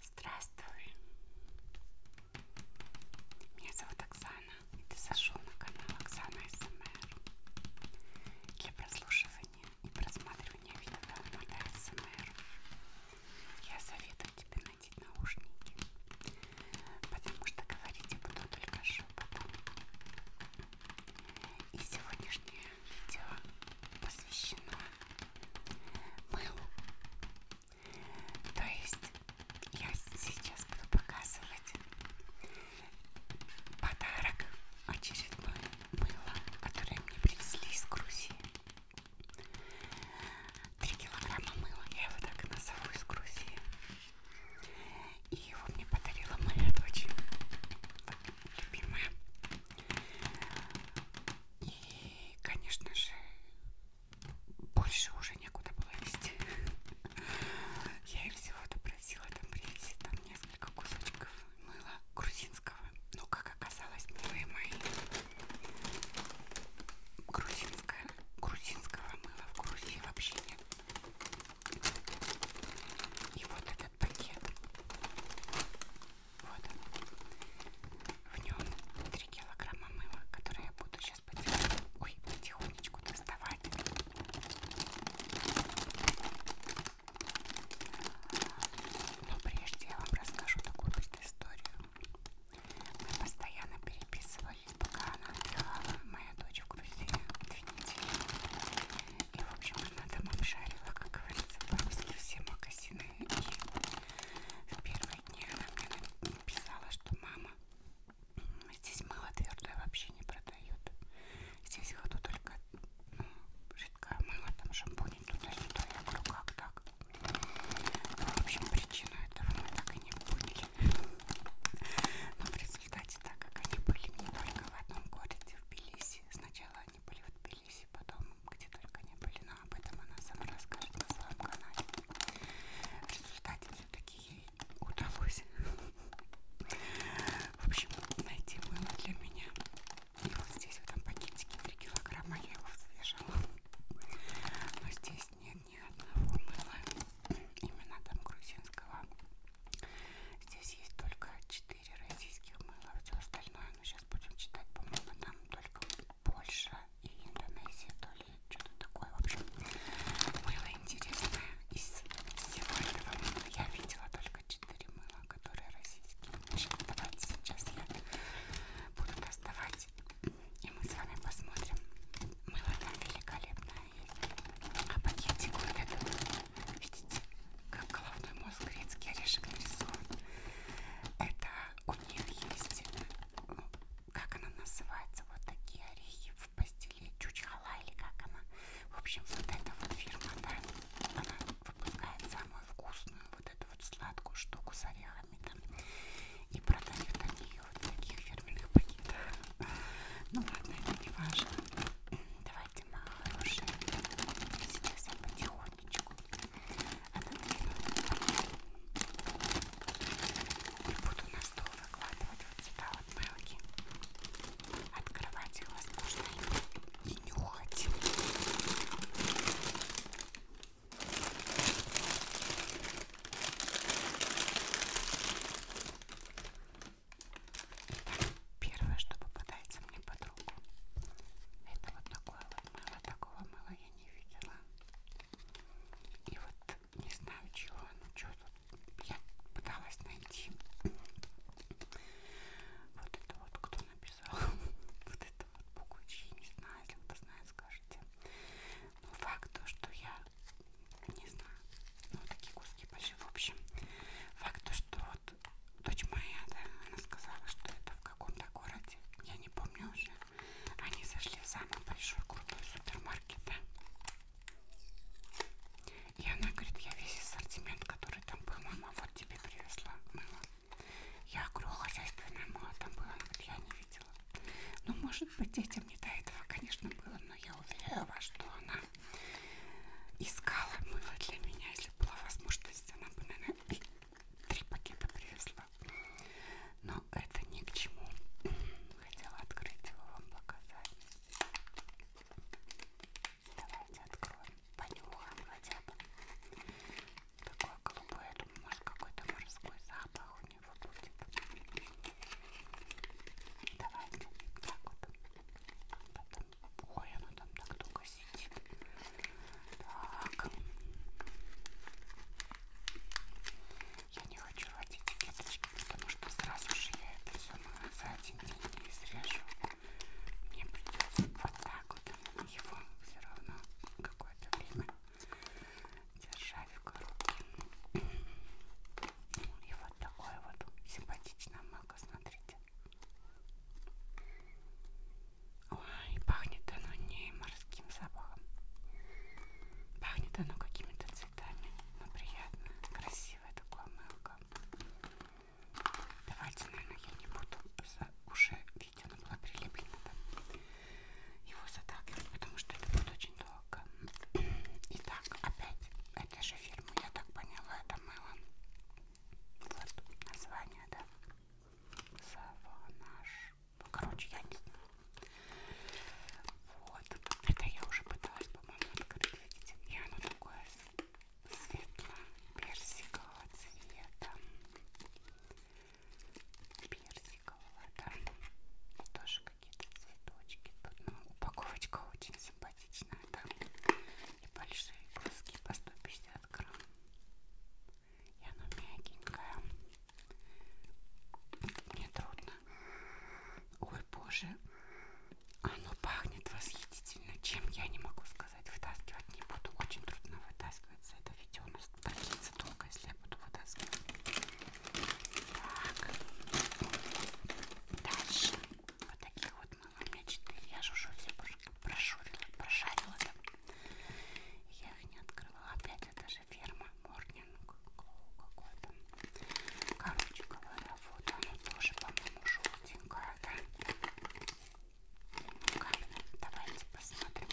Здравствуй, меня зовут Оксана, и ты зашел на канал Оксана СМР. Для прослушивания и просматривания видео формата СМР я советую тебе надеть наушники, потому что говорить я буду только шепотом. И сегодняшнее видео посвящено мылу. То есть я сейчас буду показывать подарок очередное мыло, которое мне привезли из Грузии. Три килограмма мыла, я его так и назову из Грузии. И его мне подарила моя дочь, любимая. И, конечно же, больше уже некуда было вести. Я их всего допросила там привезти там несколько кусочков мыла грузинского. Но, ну, как оказалось, милые мои, грузинское, грузинского мыла в Грузии вообще нет. И вот этот пакет вот он. В нем 3 килограмма мыла, которые я буду сейчас потихонечку, ой, потихонечку доставать. Но прежде я вам расскажу такую предысторию. Мы постоянно переписывались, пока она отдыхала, моя дочь в Грузии, две недели. И, в общем, она там обшарила, как говорится, по-русски все магазины и в первые дни она мне написала, что мама, здесь мыло твердое вообще не продают. Здесь ходу только ну, жидкое мыло, там шампунь ну, туда-сюда. Я говорю, как так? Ну, в общем, причину этого мы так и не поняли. Но в результате, так как они были не только в одном городе, в Белисе, сначала они были в Тбилиси, потом где только не были, но об этом она сама расскажет на своем канале. В результате все-таки ей удалось. В общем, найти мыло для меня. И вот здесь в этом пакетике 3 килограмма я его свежала. Но здесь нет ни одного мыла. Именно там грузинского. Здесь есть только 4 российских мыла. Все остальное но сейчас будем читать, по-моему, там только Польша и Индонезия, то ли что-то такое, в общем, мыло интересное, из всего этого мыла я видела только 4 мыла, которые российские, значит, давайте сейчас я буду доставать, и мы с вами посмотрим, мыло там великолепное есть, а пакетик вот этот, видите, как головной мозг грецкий орешек нарисован, это у них есть, ну, как она называется, вот такие орехи в пастиле, чучхала или как она. В общем, вот эта вот фирма, да, она выпускает самую вкусную вот эту вот сладкую штуку с орехами там. И продают они ее вот в таких фирменных пакетах. Ну ладно, это не важно. Давайте, мои хорошие, сейчас я потихоньку водичку. А тут и буду на стол выкладывать вот сюда вот мелки. Открывать их возможно и нюхать. Итак, первое, что попадается мне под руку, это вот такое вот мыла, такого мыла я не видела. И вот не знаю чего, ну что тут, я пыталась найти вот это вот, кто написал, вот это вот букучи, не знаю, если кто знает, скажите. Но факт то, что я, не знаю, ну такие куски большие, в общем, факт то, что вот дочь моя, да, она сказала, что это в каком-то городе, я не помню уже. Они зашли в самый большой крутой супермаркет, да. И она говорит, я весь ассортимент, который там был, мама, вот тебе привезла мыло. Я говорю, хозяйственное мыло там было, она говорит, я не видела. Ну, может быть, детям не до этого, конечно, было, но я уверяю вас, что она искала мыло для меня, если была возможность, она бы, наверное, три пакета привезла. Но это ни к чему. Хотела открыть его вам показать. Давайте откроем. Понюхаем хотя бы. Такое голубое. Я думаю, может какой-то морской запах у него будет. Давайте. Так вот. Потом. Ой, оно там так долго красить. Так. Я не хочу водить веточки, потому что сразу же я это все за один день не изрежу. Мне придется вот так вот его все равно какое-то время держать в коробке. И вот такое вот симпатичное мако, смотрите. Ой, пахнет оно не морским запахом. Пахнет оно какими-то цветами. Но ну, приятно. Красивое такое мылко. Давайте, наверное, я не буду за уже видео оно было прилеплено там. Его заталкивать, потому что это будет очень долго. Итак, опять это же фирма, я так поняла, это мыло. Вот название, да. Саванаж. Ну, короче, я не знаю. Вот. Это я уже пыталась, по-моему, открыть, видите. И оно такое светло-персикового цвета. Персикового, да. Тоже какие-то цветочки. Тут, ну, упаковочка очень симпатичная, да. И большие бруски по 150 грамм и оно мягенькое. Мне трудно. Ой, боже, оно пахнет восхитительно, чем я не могу сказать, вытаскивать не буду. Очень трудно вытаскивается это видео, у нас продлится долго, если я буду вытаскивать. Так, дальше вот таких вот она у меня 4, я же уже все прошурила, прошарила там. Я их не открывала. Опять это же фирма Морнинг какой-то. Короче говоря, вот она тоже, по-моему, желтенькая, да? Ну-ка, давайте посмотрим.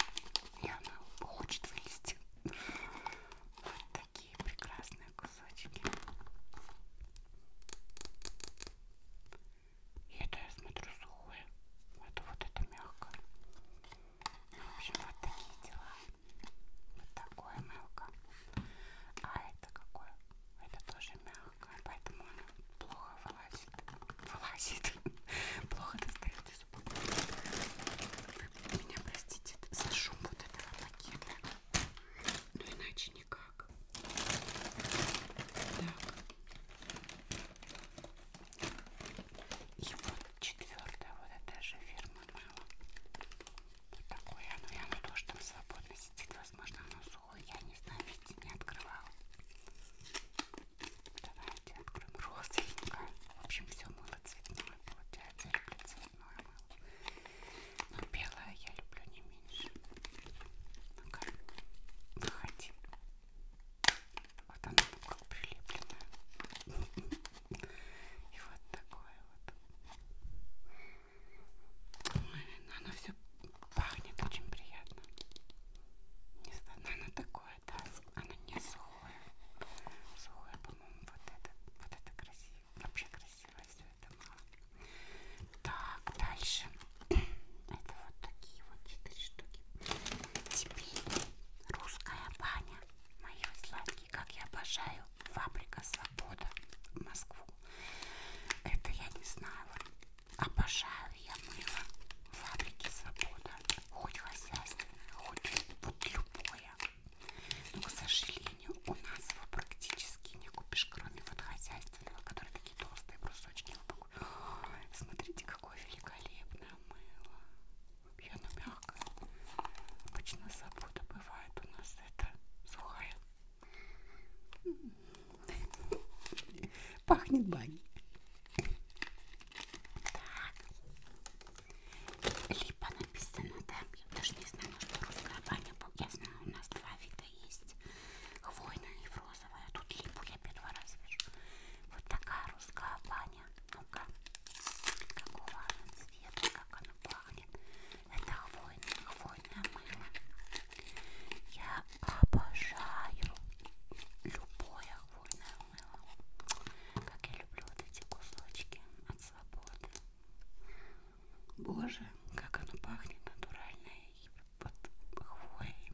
И она хочет вылезти. Вот такие прекрасные кусочки. И это я смотрю сухое. Это вот это мягко. Ну, в общем, вот такие дела. Вот такое мелко. А это какое? Это тоже мягкое, поэтому оно плохо вылазит. Вылазит. плохо достает из упаковки. Меня простите за шум вот этого пакета. Но ну, иначе никак. Так. И вот четвертая, вот эта же фирма Мало. Вот такое оно, и оно тоже там свободно сидит, возможно оно сухое, я не знаю, видите, не открывала. Давайте откроем розовенькое. В общем, все мыло цветное получается, я люблю цветное мыло. Но белое я люблю не меньше. Ну-ка, выходи. Вот оно там как прилеплено. И вот такое вот. Ой, оно все пахнет очень приятно. Не знаю, но оно такое, да. Оно не сухое. Сухое, по-моему, вот это. Вот это красиво. Вообще красиво все это мало. Так, дальше. Это вот такие вот четыре штуки. Теперь русская баня. Мои сладкие, как я обожаю. Фабрика Свобода. Москву. Это я не знала. Обожаю я мыло фабрики Свобода. Хоть хозяйственное, хоть вот любое. Но, к сожалению, у нас его практически не купишь, кроме вот хозяйственного, который такие толстые брусочки его Смотрите, какое великолепное мыло. Вообще оно мягкое. Обычно забота бывает у нас это сухая. Пахнет баней. Так. Липа написано, да? Я даже не знаю, что русская баня. Я знаю, у нас два вида есть. Хвойная и фрост розовая, а тут липу я первый а раз вижу. Вот такая русская баня. Ну-ка, какого она цвета, как она пахнет. Это хвойное, хвойное мыло. Я обожаю любое хвойное мыло. Как я люблю вот эти кусочки от свободы. Боже, как оно пахнет натуральное и под хвоей.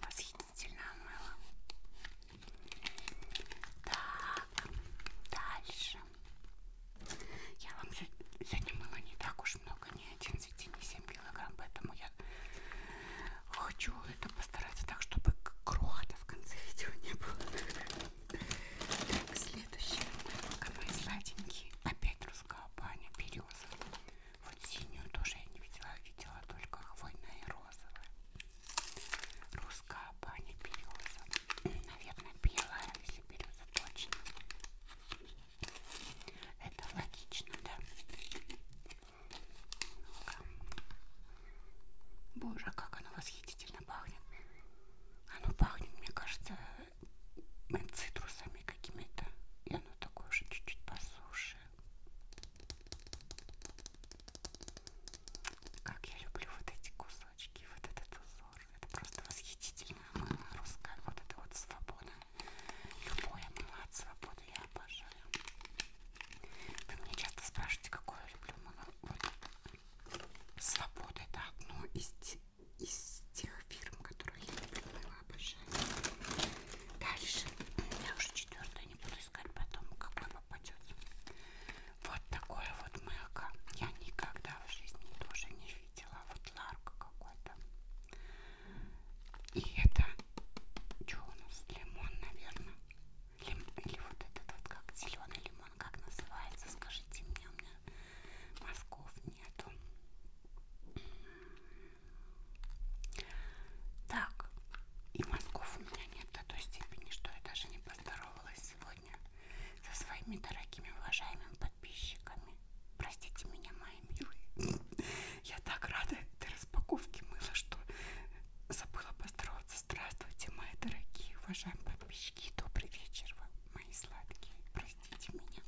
Восхитительное мыло. Так, дальше. Я вам сегодня мыла не так уж много, ни 11, ни 7 килограмм, поэтому я хочу это постараться так, чтобы крохота в конце видео не было. Так, следующее мыло, мои сладенькие. Опять русская баня, береза. Вот синюю тоже я не видела, видела только хвойная и розовая. Русская баня береза. Наверное, белая, если береза точно. Это логично, да? Боже, как оно восхитительно пахнет. Оно пахнет, мне кажется, цитрусами какими-то. И оно такое же чуть-чуть посуше. Как я люблю вот эти кусочки, вот этот узор. Это просто восхитительно. Мыло русское, вот это вот свобода. Любое мыло от свободы я обожаю. Вы меня часто спрашиваете, какое я люблю мыло. Вот. Свобода это одно из, из тех фирм, которые я любила, обожаю. Дальше. Я уже четвертую не буду искать потом, какой попадется. Вот такое вот мылко. Я никогда в жизни тоже не видела. Вот ларка какой-то. И это что у нас? Лимон, наверное. Лим... Или вот этот вот как зеленый лимон, как называется? Скажите мне, у меня мозгов нету. Так, и мозгов у меня нет до той степени, что я даже не поздоровалась сегодня со своими дорогими, уважаемыми подписчиками. Простите меня, мои милые. Я так рада этой распаковке мыла, что забыла поздороваться. Здравствуйте, мои дорогие, уважаемые подписчики. Добрый вечер вам, мои сладкие. Простите меня.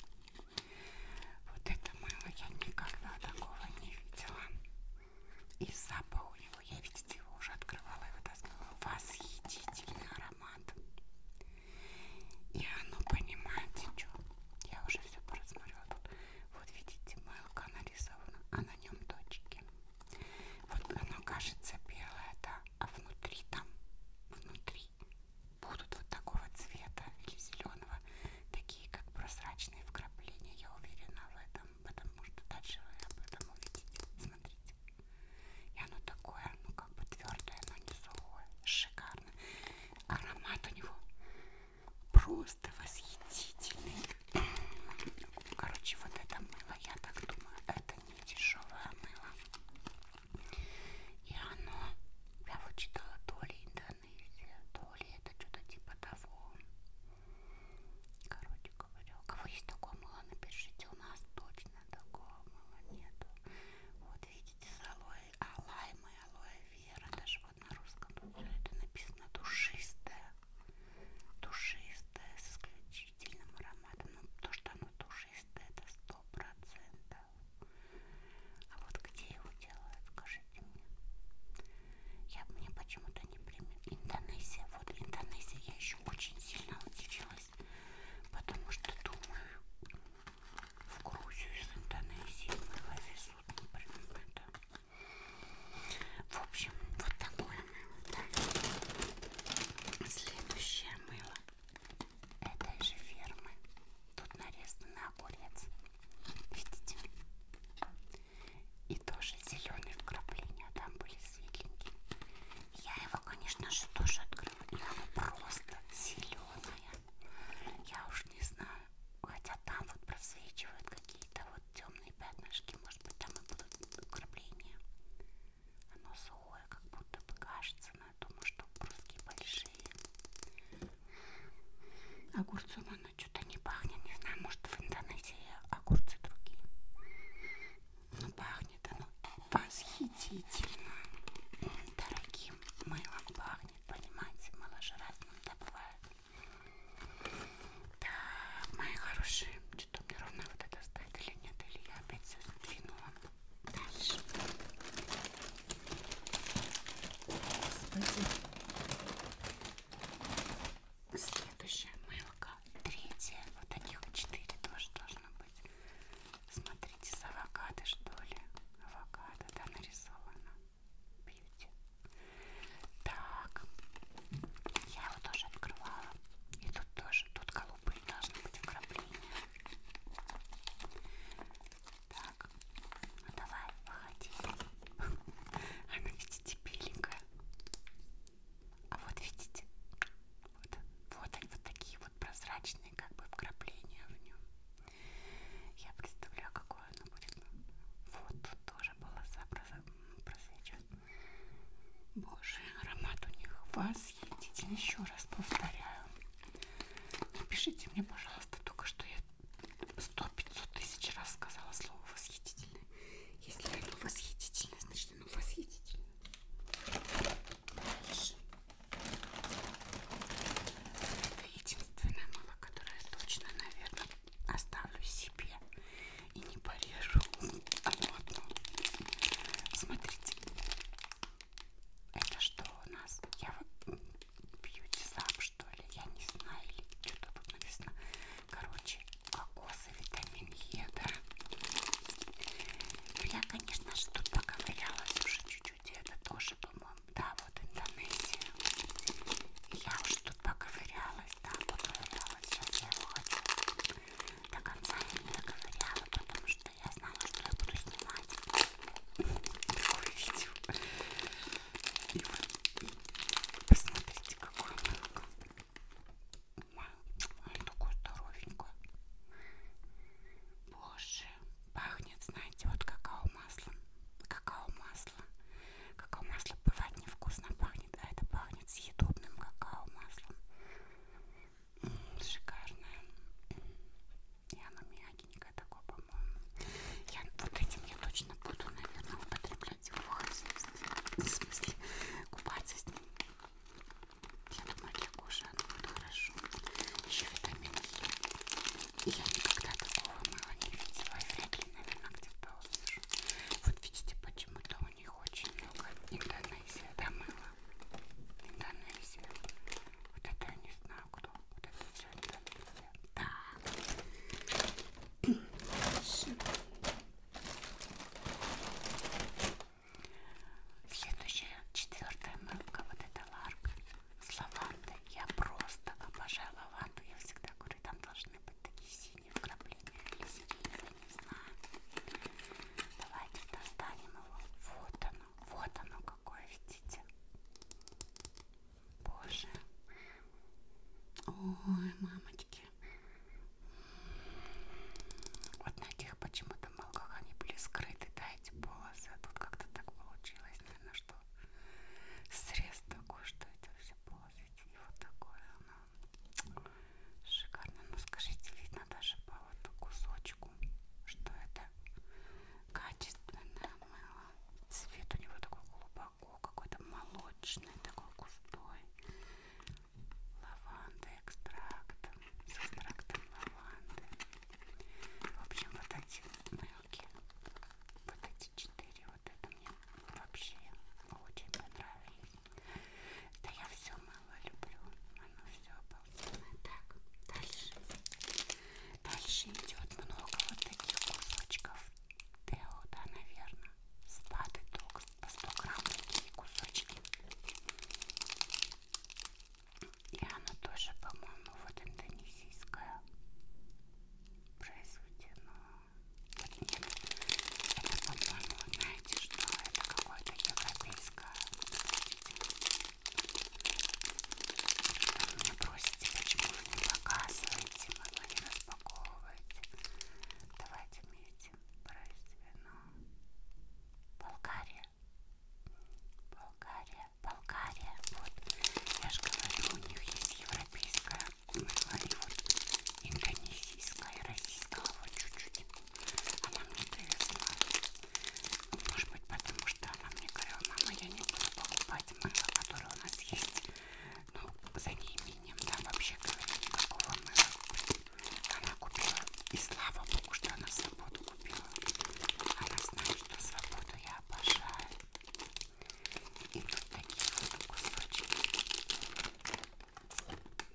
Вот это мыло я никогда такого не видела. И запах у него, я видите, его уже открывала и вытаскивала. Восхитительный аромат. И оно, понимаете, что? Я уже все просмотрела тут. Вот видите, мылка нарисована, а на нем точки. Вот оно кажется белое, да, а внутри там, внутри будут вот такого цвета или зеленого, такие как прозрачные вкрапления, я уверена в этом, потому что дальше вы об этом увидите, смотрите. И оно такое, ну как бы твердое, но не сухое, шикарно. Аромат у него просто восхитительный. Короче, вот это мыло, я так думаю, это не дешевое мыло. И оно, я вот читала то ли Индонезия, то ли это что-то типа того. Короче говоря, у кого есть такое мыло, напишите, у нас точно такого мыла нету. Вот видите, с алоэ, алаймы, алоэ вера, даже вот на русском тут это написано душистое, душистое с исключительным ароматом. Ну, то, что оно душистое, это сто процентов. А вот где его делают, скажите мне. Я мне почему-то не примет. Индонезия. Вот Индонезия я еще очень сильно удивилась. Потому что думаю, в Грузию из Индонезии мы везут, например, это. В общем, вот такое мыло, да. Следующее мыло этой же фермы. Тут нарезанный огурец. Видите? И тоже зеленые вкрапления а там были светленькие. Я его, конечно же, тоже открыла. И оно просто зеленое. Я уж не знаю. Хотя там вот просвечивают какие-то вот темные пятнышки. Может быть, там и будут вкрапления. Оно сухое, как будто бы кажется наверное, думаю, что курские большие. Огурцом оно что-то не пахнет, не знаю, может в Индонезии огурцы другие. Но пахнет оно восхитительно. Дорогим мылом пахнет, понимаете, маложеразным да бывает. Так, мои хорошие, что-то мне ровно вот это стоит или нет, или я опять все сдвинула. Дальше. Господи. Следующая мылка. Третья. Вот таких четыре тоже должно быть. Смотрите, с авокадо что ли? Авокадо, да, нарисовано. Бьюти. Так. Я его тоже открывала. И тут тоже. Тут голубые должны быть вкрапления. Так, ну давай, выходи. Она, видите, беленькая. А вот видите, вот, вот они вот такие вот прозрачные, как бы вкрапления в нем. Я представляю, какое оно будет. Вот тут тоже полоса просвечивает. Боже, аромат у них восхитительный. Еще раз повторяю. Напишите мне, пожалуйста, только что я 100-500 тысяч раз сказала слово восхитительное. Если оно восхитительное, значит оно восхитительное. Дальше. Это единственное мыло, которое я точно, наверное, оставлю себе и не порежу одно одно. Смотрите, это что у нас? Я бьюти сам что ли? Я не знаю, или что-то тут написано. Короче, кокосы, витамин Е, да? Ну, я, конечно же, тут поковырялась уже чуть-чуть. Это тоже, по-моему, да, вот Индонезия. Я уж тут поковырялась, да, поковырялась. Сейчас я его хочу до конца не доковыряла, потому что что я знала, что я буду снимать такое видео. И вот, посмотрите, какое молоко. Ой, такое здоровенькое. Боже, пахнет, знаете, вот какао-масло. Какао-масло. Какао-масло бывает невкусно пахнет, а это пахнет съедобным какао-маслом. Шикарное. И оно мягенькое такое, по-моему. Я вот этим я точно буду, наверное, употреблять его хозяйство. В смысле, купаться с ним. Я думаю, для кожи оно будет хорошо. Еще витамин Е. Я никогда такого мало не видела. И вряд ли, наверное, где-то услышу. Вот видите, почему-то у них очень много Индонезия, да, мыла. Индонезия. Вот это я не знаю кто. Вот это что это такое? Так. Следующая, четвертая мылка, вот это ларка с лавандой. Я просто обожаю лаванду. Я всегда говорю, там должны быть такие синие вкрапления или сиреневые, не знаю. Давайте достанем его. Вот оно. Вот оно какое, видите? Боже. Ой, мамочки. Вот на тех почему-то молках они были скрыты, да, эти полосы. А тут как-то так получилось, наверное, что срез такой, что это все полосы. И вот такое оно. Шикарно. Ну скажите, видно даже по вот кусочку, что это качественное мыло. Цвет у него такой глубоко, какой-то молочный, такой густой. Лаванда экстракт. С экстрактом лаванды. В общем, вот эти мылки. Вот эти четыре. Вот это мне вообще очень понравились. Да я все мыло люблю. Оно все по обалденная. Так, дальше. Дальше идет много вот таких кусочков Тео, да, наверное. Спады ток по 100 грамм такие кусочки. И она тоже, по-моему, вот индонезийская произведено. Вот нет, это, по-моему, знаете, что это какое-то европейское. Вы просите, почему вы не показываете, вы не распаковываете. Давайте метим брать вино. Болгария. Болгария, Болгария. Вот, я же говорю, у них есть европейская, мы говорим, вот, индонезийская, российская, вот чуть-чуть. Она мне дает знать. Может быть, потому что она мне говорила, мама, я не буду покупать мыло, которое у нас есть. Ну, за неимением, да, вообще говоря, никакого мыла. Она купила, и слава богу, что она свободу купила. Она знает, что свободу я обожаю. И тут такие вот кусочки.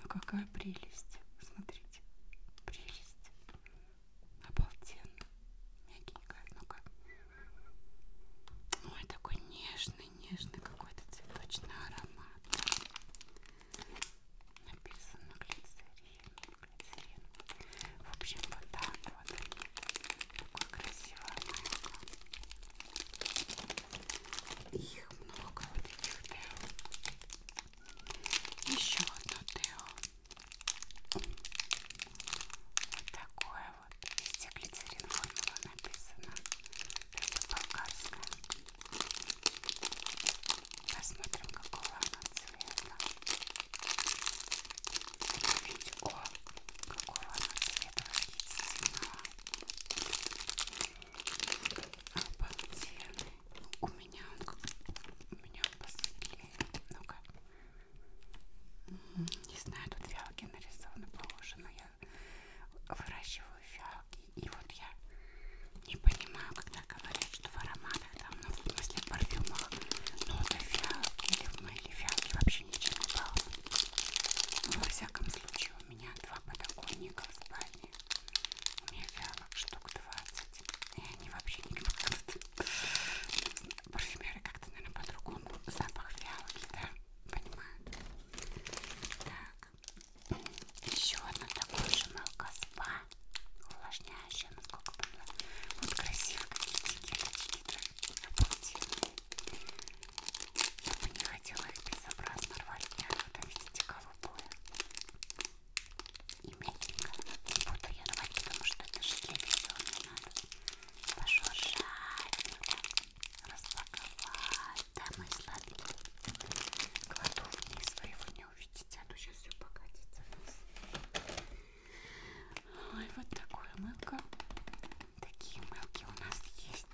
Ну какая прелесть. Смотрите. Прелесть. Обалденно. Мягенько. Ну-ка. Ой, такой нежный, нежный какой-то цветочный аромат. Написано глицерин, глицерин. В общем, вот так вот. Такой красивый аромат. Их много вот этих Тео. Еще одно Тео. Вот такое вот. Везде глицерин формула написано. Это болгарская. Посмотрим, какого она цвета. Это ведь, о, какого она цвета родительного. Обалденный. У меня он, у меня он посветлее. Ну-ка. Не знаю, тут фиалки нарисованы похоже, но я выращиваю фиалки. И вот я не понимаю, когда говорят, что в ароматах там, ну, в смысле в парфюмах, ноты фиалки или в мыле фиалки вообще ничего не было. Ну, во всяком случае, у меня два подоконника в спальне. У меня фиалок штук 20. И они вообще не гнутся. Парфюмеры как-то, наверное, по-другому. Запах фиалки, да? Понимаю. Так. Еще одно такое же молоко спа. Увлажняющее, насколько было. Вот красиво какие-то кирочки-то. Обалденные. Я бы не хотела их безобразно рвать. Я вот, видите, голубое. И мягенько не буду ее рвать, потому что это же для видео мне надо пошуршать, распаковать. Да, мои сладенькие. Кладу вниз, вы его не увидите, а то сейчас все покатится вниз. Ой, вот такое мылко. Такие мылки у нас есть.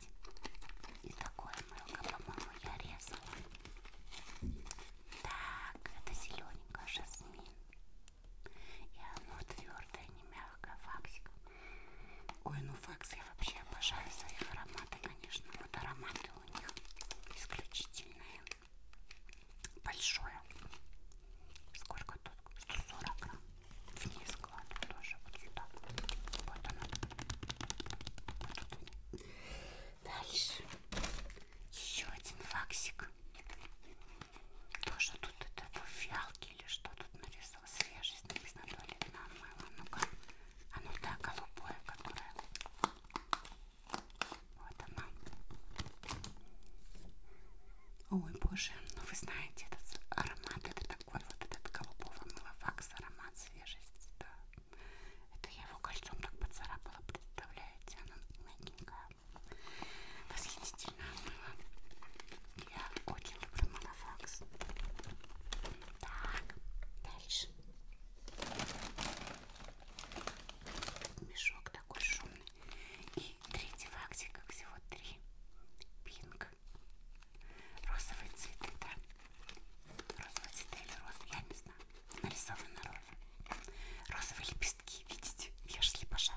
И такое мылко, по-моему, я резала. Так, это зелененькая жасмин. И оно твердое, не мягкое, факсик. Ой, ну факс я вообще обожаю за их ароматы, конечно. Вот ароматы у них исключительные. Большое. Сколько тут? 140 грамм. Вниз кладу тоже. Вот сюда. Вот оно. Вот тут. Дальше. Еще один факсик. Тоже тут это фиалки или что тут нарисовано? Свежесть написано туалетное мыло. Ну-ка. Оно а ну да, голубое, которое. Вот оно. Ой, боже, ну вы знаете, этот аромат, это такой вот этот голубого мыла факс, аромат свежести, да. Это я его кольцом так поцарапала, представляете, она мягенькая восхитительное мыло. Я очень люблю Малафакс. Так, дальше. Мешок такой шумный. И третий фактик, как всего три. Пинг. Розовые цветы, да? Розовые цветы или розы, я не знаю нарисована роза. Розовые лепестки, видите? Я же слепошар.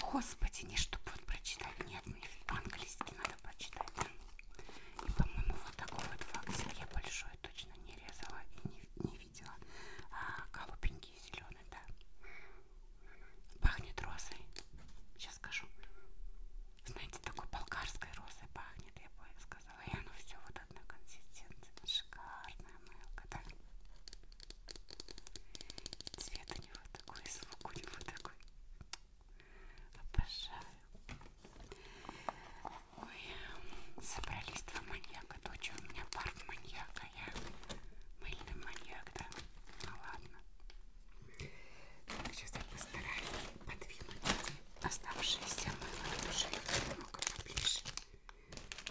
Господи, не что будет прочитать. Нет, мне по-английски надо прочитать. И, по-моему, вот такой вот факсель я большой точно не резала и не, не видела. А голубенький и зеленый, да. Пахнет розой. Сейчас скажу. Знаете, такой болгарской розой пахнет, я бы сказала. И оно все вот вот одной консистенции. Шикарная мылка, да? И цвет у него такой, и звук у него такой. Обожаю. Ой, собрались два маньяка. Дочь у меня пар маньяка. Я мыльный маньяк, да? Ну ладно. Так, сейчас я постараюсь подвинуть оставшиеся мыло. Уже немного поближе. Чтобы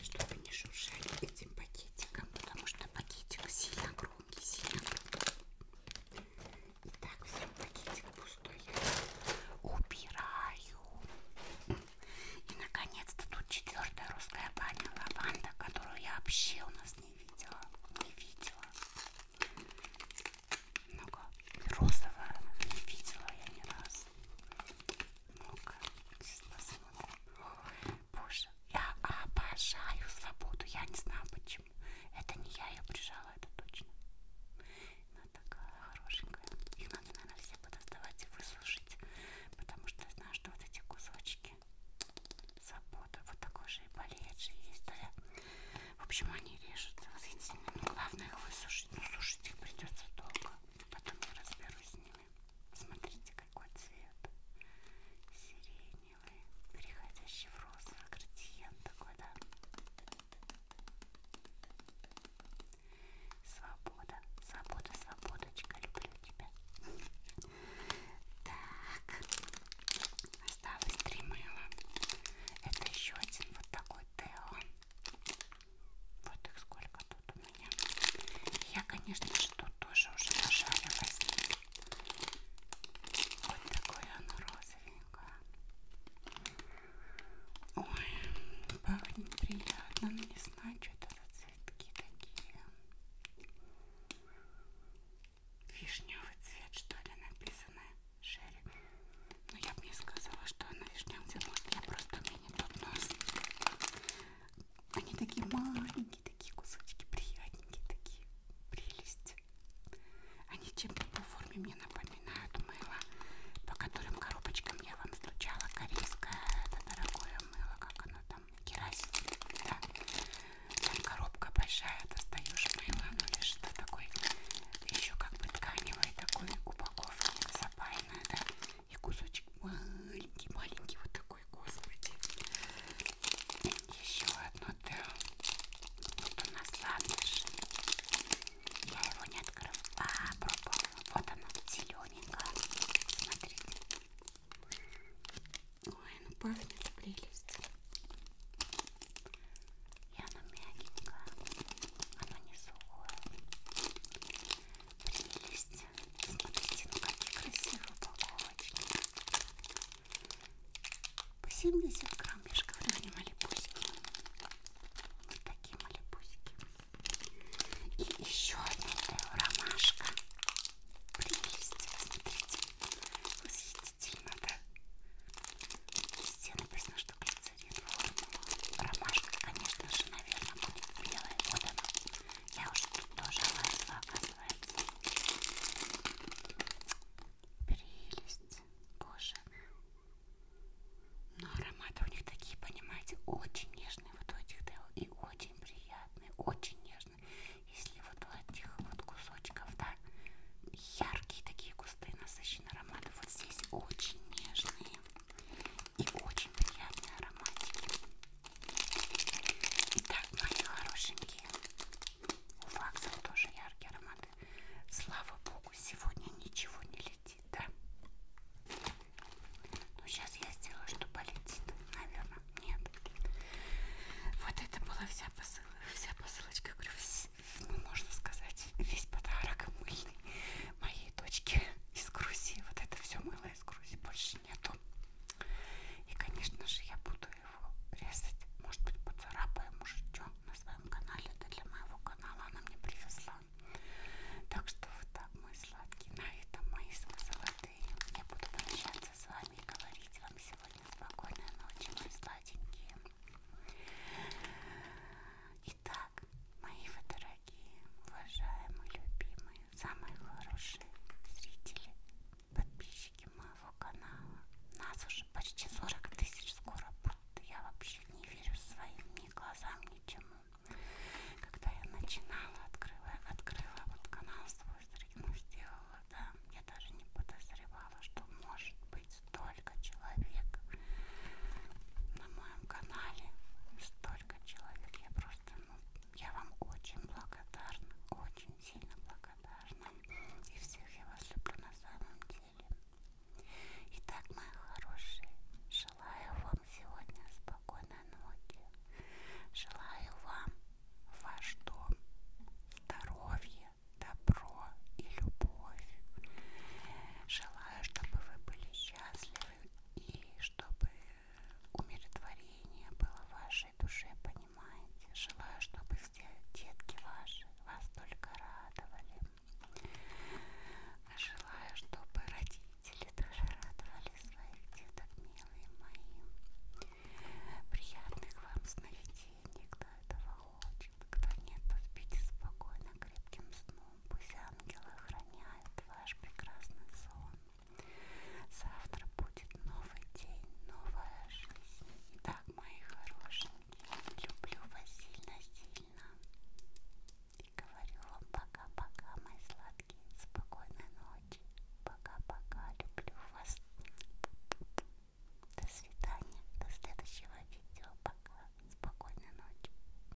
чтобы не шуршали этим пакетиком, потому что пакетик сильно громкий, сильно громкий. Итак, все, пакетик пустой я убираю. И наконец-то тут четвертая русская баня лаванда, которую я вообще у нас не видела. Не видела. Много розового не видела я ни раз много Боже, я обожаю свободу. Я не знаю почему. Это не я ее прижала, это точно. Она такая хорошенькая. Их надо, наверное, все подоставать и выслушать. Потому что я знаю, что вот эти кусочки свобода. Вот такой же и болеет же есть. Да? В общем, они режутся восхитительно. Но главное их высушить. Но ну, сушить их придется долго. Потом я разберусь с ним. Смотрите, какой цвет. Сиреневый, переходящий в розовый градиент такой, да? Свобода, свобода, свободочка, люблю тебя. Так, осталось три мыла. Это еще один вот такой Тео. Вот их сколько тут у меня. Я, конечно же, тут тоже уже нажарилась. Вот такое оно розовенькое. Ой, пахнет приятно, но ну, не знаю, что это за цветки такие. Вишневый цвет, что ли, написано? Шерри. Но ну, я бы не сказала, что она вишневый цвет. Может, я просто они под нас. Они такие маленькие, такие кусочки, приятненькие, такие прелесть. Они чем-то по форме мне напоминают мыло, по которым коробочкам я вам встречала корейское, это дорогое мыло, как оно там, керосин, да. Там коробка большая, достаешь мыло, оно лежит на такой, еще как бы тканевой такой упаковке, запаянное, да. И кусочек маленький-маленький вот такой, господи. Еще одно, да. Вот у нас ландыш. Я его не открыла. А, пробовала. Вот она, зелененькая. Смотрите. Ой, ну пахнет прелесть. И оно мягенькое. Оно не сухое прелесть. Смотрите, ну какие красивые упаковочки. По 70 грамм, я же говорю, малибусики. Вот такие малибусики. И еще одна ромашка. Прелесть, смотрите. Восхитительно, да? Везде написано, что глицерин цвет формула. Ромашка, конечно же, наверное, будет белая. Вот она. Я уже тут тоже лазила, оказывается. Прелесть. Боже. Но ароматы у них такие, понимаете, очень нежные вот у этих дел и очень приятные, очень нежные. Если вот у этих вот кусочков, да, яркие такие густые насыщенные ароматы, вот здесь очень нежные и очень приятные ароматики. Итак, мои хорошенькие, у факсов тоже яркие ароматы. Слава богу, сегодня ничего не летит, да? Ну, сейчас я сделаю, что полетит, наверное. Нет. Вот это была вся посылочка. Вся посылочка, говорю, вс... ну, можно сказать, весь подарок мыльный моей дочки из Грузии. Вот это все мыло из Грузии больше нету. И, конечно же, я буду его резать. Может быть, поцарапаю, может, что на своем канале. Это для моего канала она мне привезла. Так что вот так, мои сладкие, на этом мои золотые. Я буду прощаться с вами и говорить вам сегодня спокойной ночи, мои сладенькие. Итак, мои вторые дорогие, уважаемые, любимые, самые хорошие зрители, подписчики моего канала. Нас уже почти 40 тысяч скоро будет. Я вообще не верю своим ни глазам, ничему. Когда я начинала, открыла, открыла вот канал свой, ну, сделала, да, я даже не подозревала, что может быть столько человек на моем канале, столько столько человек. Я просто, ну, я вам очень благодарна, очень сильно благодарна. И всех я вас люблю на самом деле. Итак, мои хорошие, желаю вам сегодня спокойной ночи. Желаю вам в ваш дом здоровья, добро и любовь. Желаю, чтобы вы были счастливы и чтобы умиротворение было в вашей душе, понимаете? Желаю, чтобы все детки ваши вас только радовали. Желаю, чтобы родители тоже радовали своих деток, милые мои. Приятных вам сновидений, кто этого хочет. Кто нет, то спите спокойно, крепким сном. Пусть ангелы охраняют ваш прекрасный сон. Завтра будет новый день, новая жизнь. Итак, мои хорошенькие, люблю вас сильно-сильно. И говорю вам пока-пока, мои сладкие. Спокойной ночи. Пока-пока. Люблю вас. До свидания. До следующего видео. Пока. Спокойной ночи.